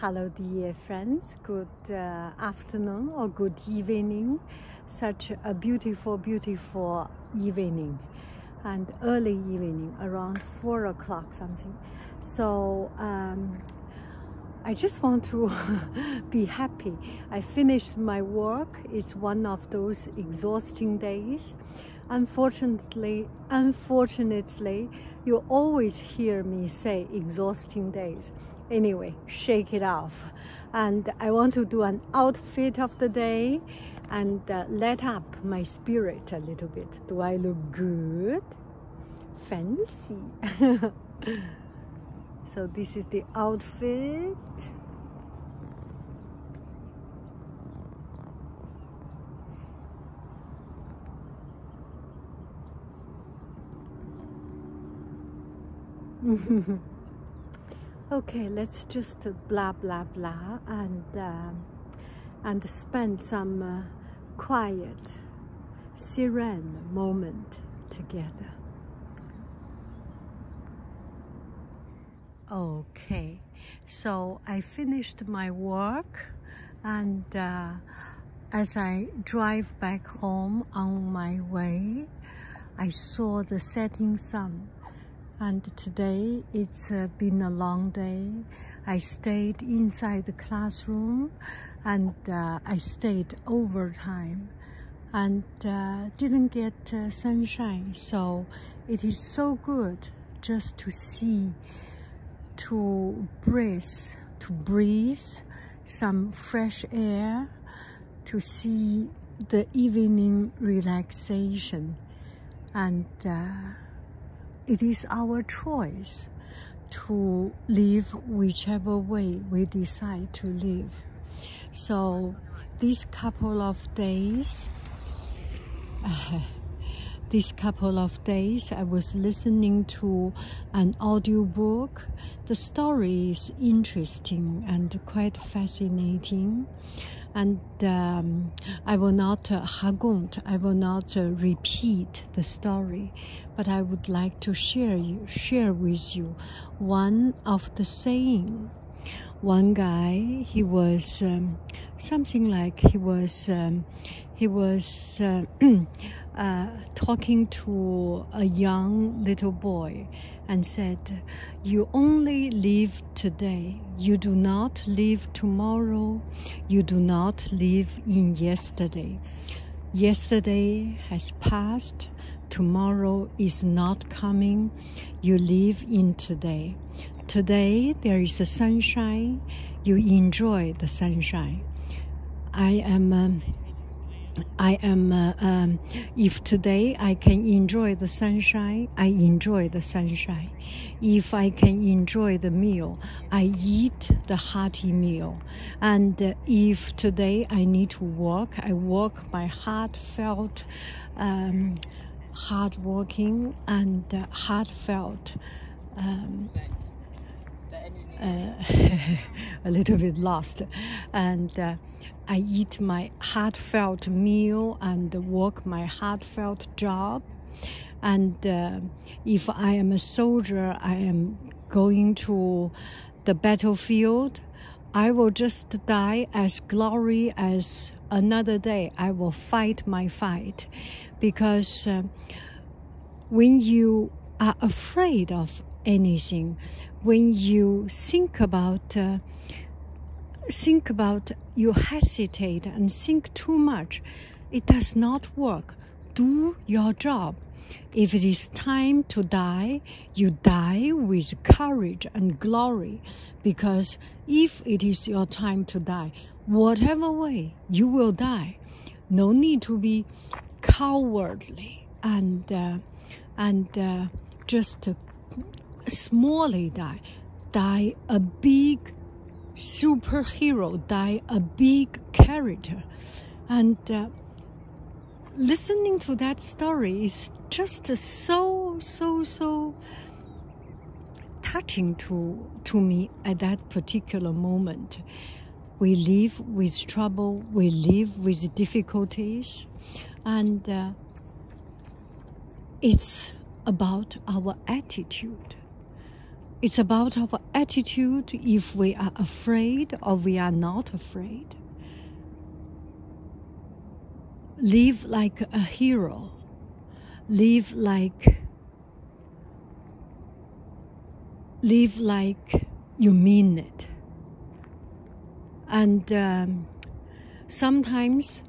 Hello, dear friends. Good uh, afternoon or good evening. Such a beautiful, beautiful evening and early evening around four o'clock something. So um, I just want to be happy. I finished my work. It's one of those exhausting days. Unfortunately, unfortunately, you always hear me say exhausting days. Anyway, shake it off. And I want to do an outfit of the day and uh, let up my spirit a little bit. Do I look good? Fancy. so this is the outfit. okay, let's just uh, blah blah blah and um, and spend some uh, quiet, serene moment together. Okay, so I finished my work and uh, as I drive back home on my way, I saw the setting sun. And today it's uh, been a long day. I stayed inside the classroom and uh, I stayed overtime and didn't get sunshine. So it is so good just to see to breathe, to breathe some fresh air, to see the evening relaxation. And uh, it is our choice to live whichever way we decide to live. So these couple of days, these couple of days, I was listening to an audiobook. The story is interesting and quite fascinating. And um, I will not uh, I will not uh, repeat the story, but I would like to share you, share with you one of the saying. One guy, he was um, something like he was um, he was uh, uh, talking to a young little boy and said, You only live today. You do not live tomorrow. You do not live in yesterday. Yesterday has passed. Tomorrow is not coming. You live in today. Today there is a sunshine you enjoy the sunshine. I am. Um, I am, uh, um, if today I can enjoy the sunshine, I enjoy the sunshine. If I can enjoy the meal, I eat the hearty meal. And uh, if today I need to walk, I walk my heartfelt, um, hardworking and uh, heartfelt um, uh, a little bit lost. And uh, I eat my heartfelt meal and work my heartfelt job. And uh, if I am a soldier, I am going to the battlefield. I will just die as glory as another day. I will fight my fight because uh, when you are afraid of anything, when you think about uh, think about you hesitate and think too much, it does not work. Do your job. If it is time to die, you die with courage and glory because if it is your time to die, whatever way you will die. No need to be cowardly and uh, and uh, just smallly die. Die a big superhero. Die a big character. And uh, listening to that story is just so so so touching to, to me at that particular moment. We live with trouble, we live with difficulties, and uh, it's about our attitude. It's about our attitude if we are afraid or we are not afraid. Live like a hero. Live like live like you mean it. And um, sometimes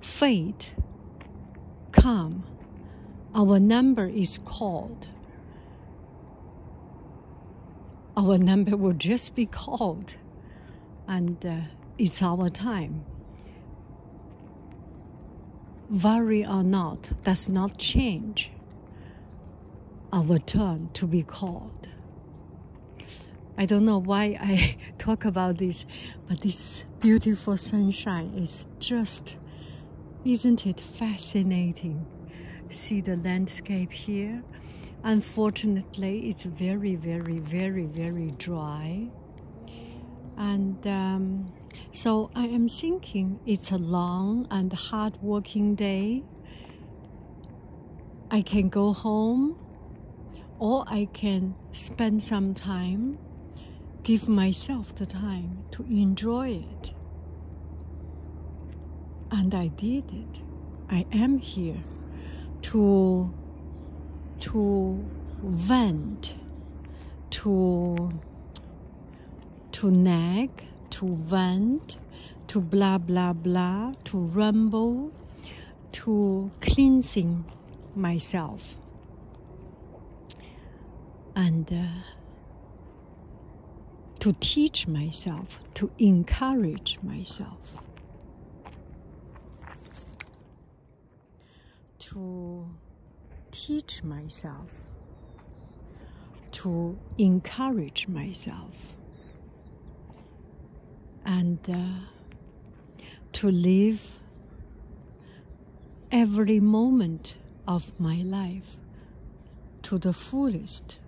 fate, come, our number is called. Our number will just be called, and uh, it's our time Worry or not does not change our turn to be called. I don't know why I talk about this, but this beautiful sunshine is just, isn't it fascinating? See the landscape here. Unfortunately, it's very, very, very, very dry and um, so I am thinking it's a long and hard working day. I can go home or I can spend some time, give myself the time to enjoy it. And I did it. I am here to to vent, to to nag, to vent, to blah blah blah, to rumble, to cleansing myself. And uh, to teach myself, to encourage myself to teach myself, to encourage myself, and uh, to live every moment of my life to the fullest,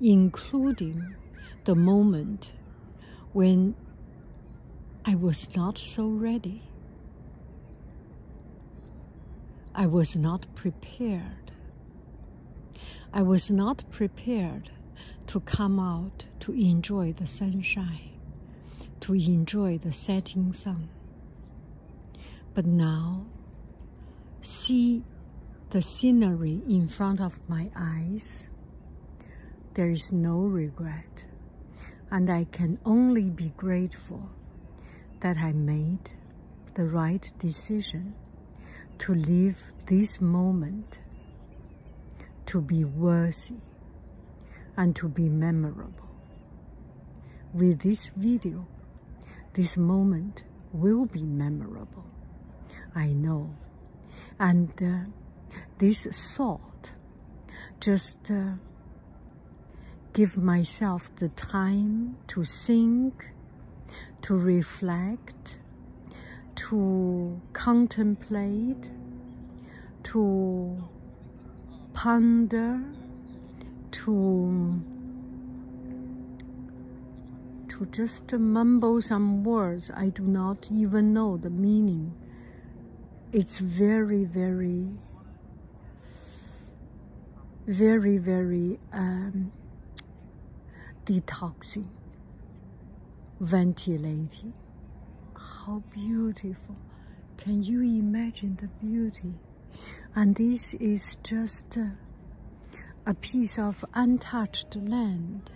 including the moment when I was not so ready. I was not prepared. I was not prepared to come out to enjoy the sunshine, to enjoy the setting sun. But now, see the scenery in front of my eyes. There is no regret and I can only be grateful that I made the right decision to live this moment to be worthy and to be memorable. With this video, this moment will be memorable. I know. And uh, this thought just uh, give myself the time to think, to reflect, to contemplate, to ponder, to to just mumble some words I do not even know the meaning it's very, very, very, very um, detoxing, ventilating. How beautiful. Can you imagine the beauty? And this is just uh, a piece of untouched land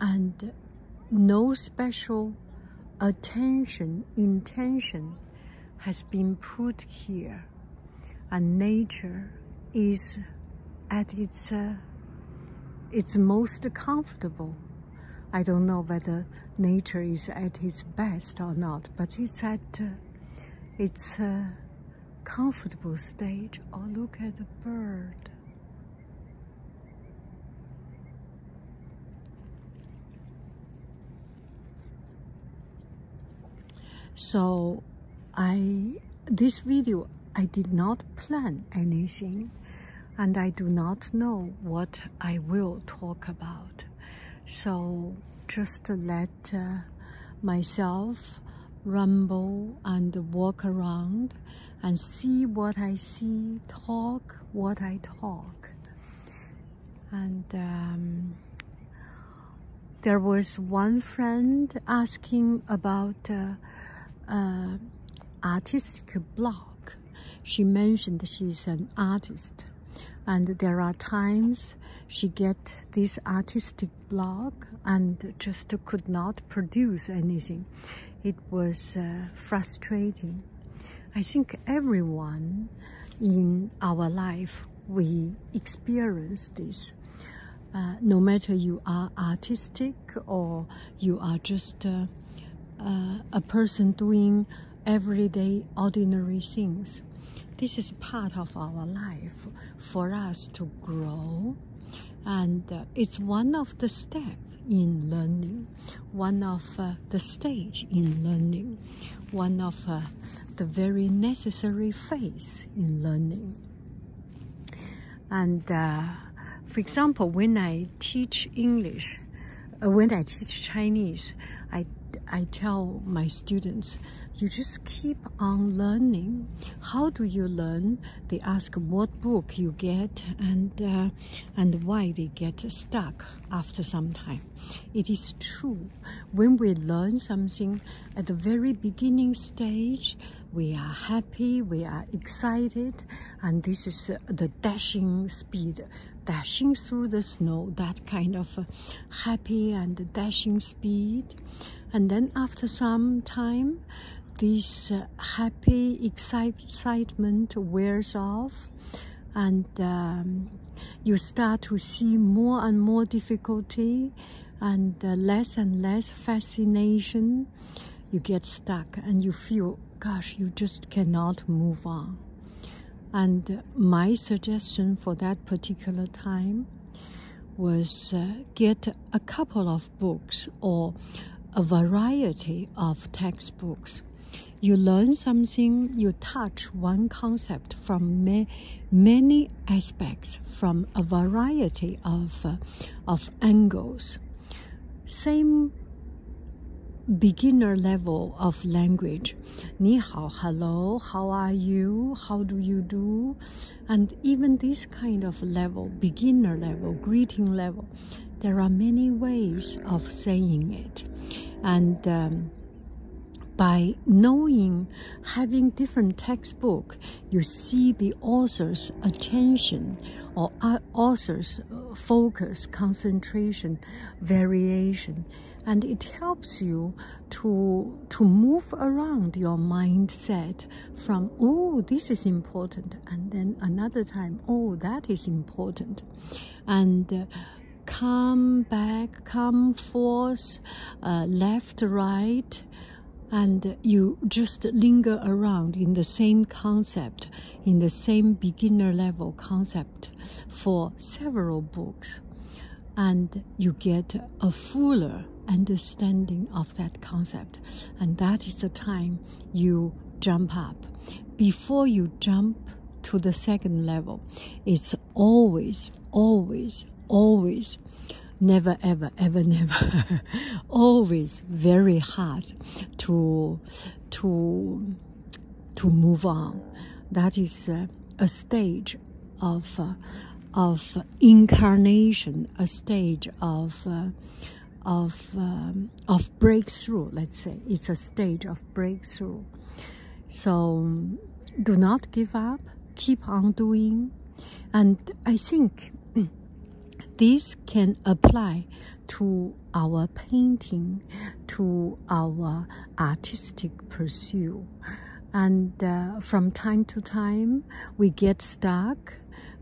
and no special attention, intention has been put here. And nature is at its, uh, its most comfortable. I don't know whether nature is at its best or not, but it's at uh, its uh, comfortable stage. Or oh, look at the bird. So I this video I did not plan anything and I do not know what I will talk about. So just let uh, myself rumble and walk around and see what I see, talk what I talk. And um, there was one friend asking about uh, uh, artistic block. She mentioned she's an artist and there are times she get this artistic block and just could not produce anything was uh, frustrating. I think everyone in our life we experience this. Uh, no matter you are artistic or you are just uh, a person doing everyday ordinary things. This is part of our life for us to grow and it's one of the steps in learning, one of uh, the stage in learning, one of uh, the very necessary phase in learning. And uh, for example, when I teach English, when I teach Chinese, I I tell my students, you just keep on learning. How do you learn? They ask what book you get and and why they get stuck after some time. It is true, when we learn something at the very beginning stage, we are happy, we are excited, and this is uh, the dashing speed, dashing through the snow, that kind of uh, happy and dashing speed. And then after some time, this uh, happy excitement wears off and um, you start to see more and more difficulty and uh, less and less fascination you get stuck and you feel gosh you just cannot move on and uh, my suggestion for that particular time was get a couple of books or a variety of textbooks. You learn something, you touch one concept from many aspects, from a variety of, uh, of angles. Same beginner level of language. 你好, hello, how are you, how do you do? And even this kind of level, beginner level, greeting level, there are many ways of saying it. And um, by knowing, having different textbook, you see the author's attention or uh, author's focus, concentration, variation. And it helps you to, to move around your mindset from, oh, this is important, and then another time oh that is important and uh, come back come forth uh, left right and you just linger around in the same concept in the same beginner level concept for several books and you get a fuller understanding of that concept. And that is the time you jump up. Before you jump to the second level, it's always, always, always never ever ever never always very hard to to to move on that is uh, a stage of uh, of incarnation a stage of uh, of um, of breakthrough let's say it's a stage of breakthrough so do not give up keep on doing and i think this can apply to our painting to our artistic pursuit and uh, from time to time we get stuck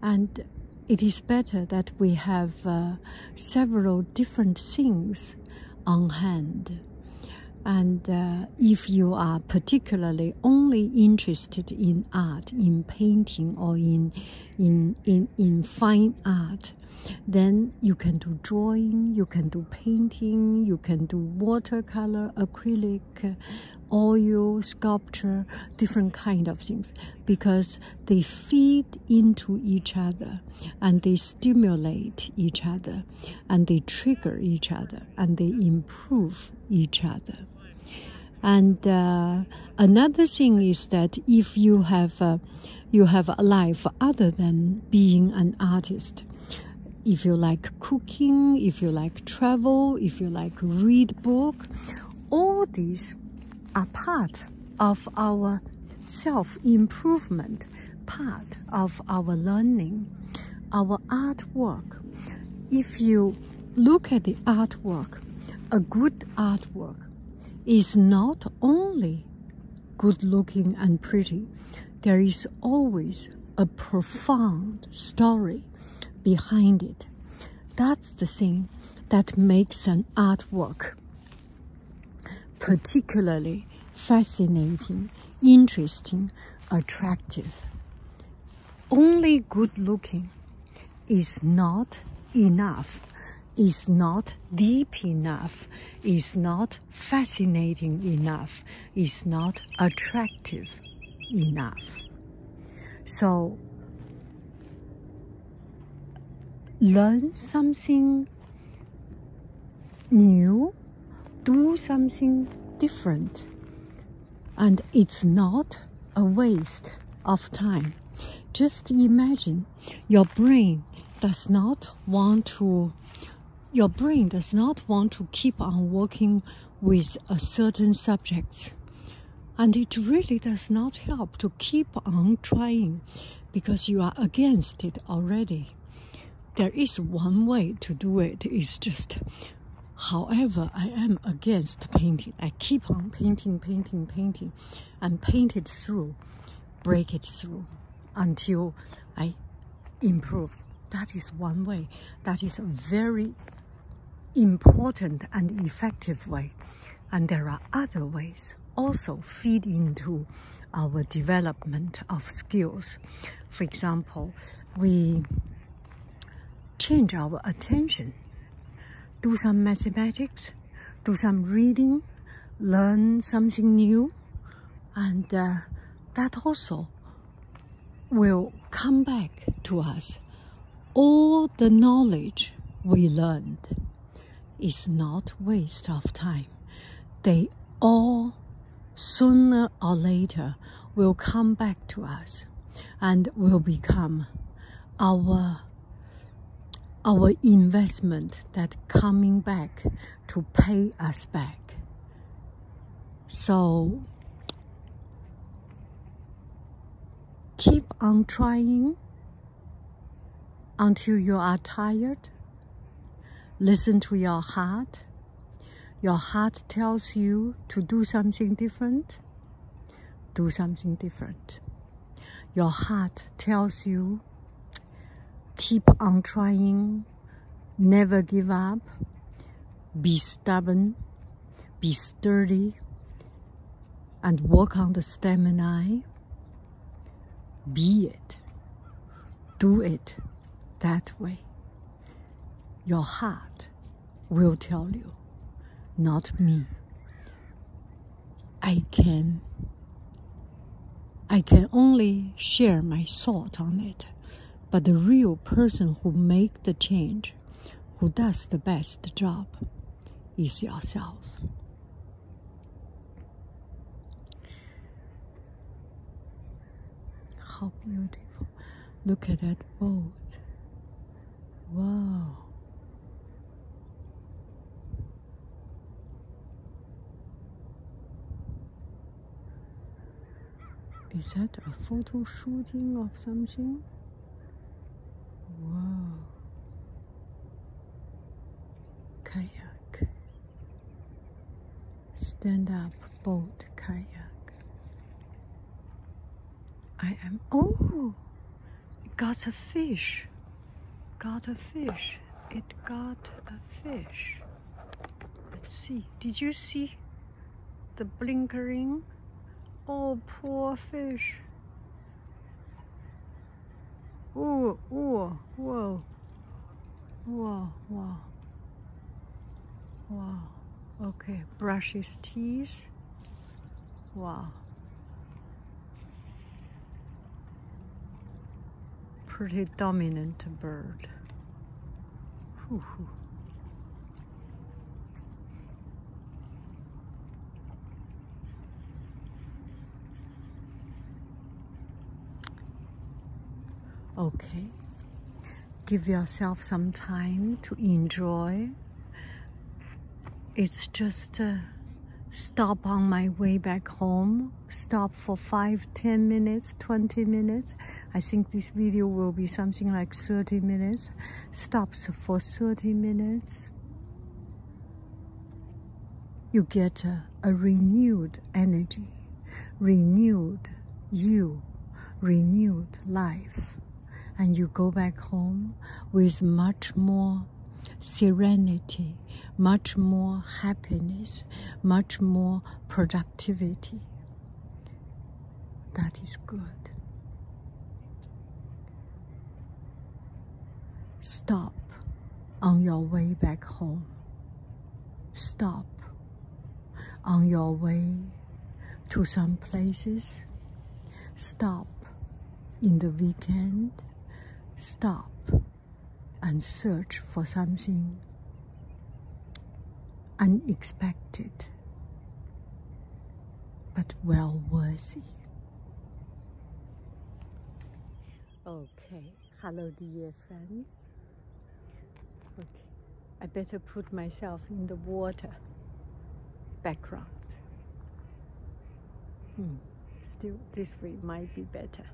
and it is better that we have uh, several different things on hand. And uh, if you are particularly only interested in art, in painting or in, in, in, in fine art, then you can do drawing, you can do painting, you can do watercolor, acrylic, oil, sculpture, different kind of things because they feed into each other and they stimulate each other and they trigger each other and they improve each other and uh, another thing is that if you have uh, you have a life other than being an artist if you like cooking if you like travel if you like read book all these are part of our self-improvement, part of our learning, our artwork. If you look at the artwork, a good artwork is not only good looking and pretty, there is always a profound story behind it. That's the thing that makes an artwork particularly fascinating, interesting, attractive. Only good looking is not enough, is not deep enough, is not fascinating enough, is not attractive enough. So learn something new, do something different. And it's not a waste of time. Just imagine your brain does not want to your brain does not want to keep on working with a certain subject and it really does not help to keep on trying because you are against it already. There is one way to do It's just, however, I am against painting. I keep on painting, painting, painting, and paint it through, break it through until I improve. That is one way. That is very important and effective way. And there are other ways also feed into our development of skills. For example, we change our attention, do some mathematics, do some reading, learn something new, and uh, that also will come back to us all the knowledge we learned is not waste of time. They all, sooner or later, will come back to us and will become our our investment that coming back to pay us back. So Keep on trying until you are tired. Listen to your heart. Your heart tells you to do something different. Do something different. Your heart tells you keep on trying, never give up, be stubborn, be sturdy, and walk on the stem and stamina, be it. Do it that way. Your heart will tell you, not me. I can I can only share my thought on it. But the real person who make the change, who does the best job, is yourself. How beautiful. Look at that boat. Wow. Is that a photo shooting of something? Whoa. Kayak. Stand up boat kayak. I am. Oh! Got a fish. Got a fish. It got a fish. Let's see. Did you see the blinkering? Oh, poor fish. Ooh! Ooh! вау. Wow, wow. Wow. Okay, brushes teeth. Wow. Pretty dominant bird. Whew. Okay. Give yourself some time to enjoy. It's just a uh, stop on my way back home. Stop for five, ten minutes, 20 minutes. I think this video will be something like 30 minutes stops for 30 minutes, you get a, renewed energy, renewed you, renewed life. And you go back home with much more serenity, much more happiness, much more productivity that is good. Stop on your way back home. Stop on your way to some places. Stop in the weekend. Stop and search for something unexpected but well worth it. Okay, hello dear friends. Okay, I better put myself in the water background. Hmm. still this way might be better.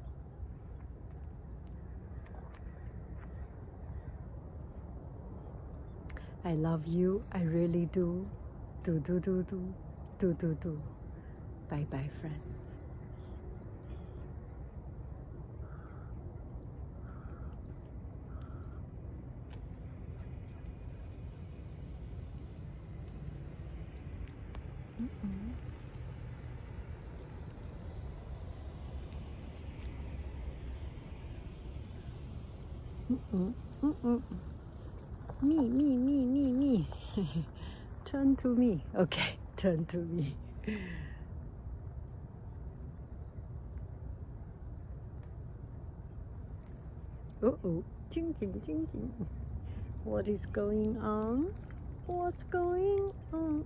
I love you. I really do. Do, do, do, do. Do, do, do. Bye bye, friends. Mm -mm. mm me, me, me, me, me. turn to me. Okay, turn to me. Oh oh. Ching, ching, ching, ching. What is going on? What's going on?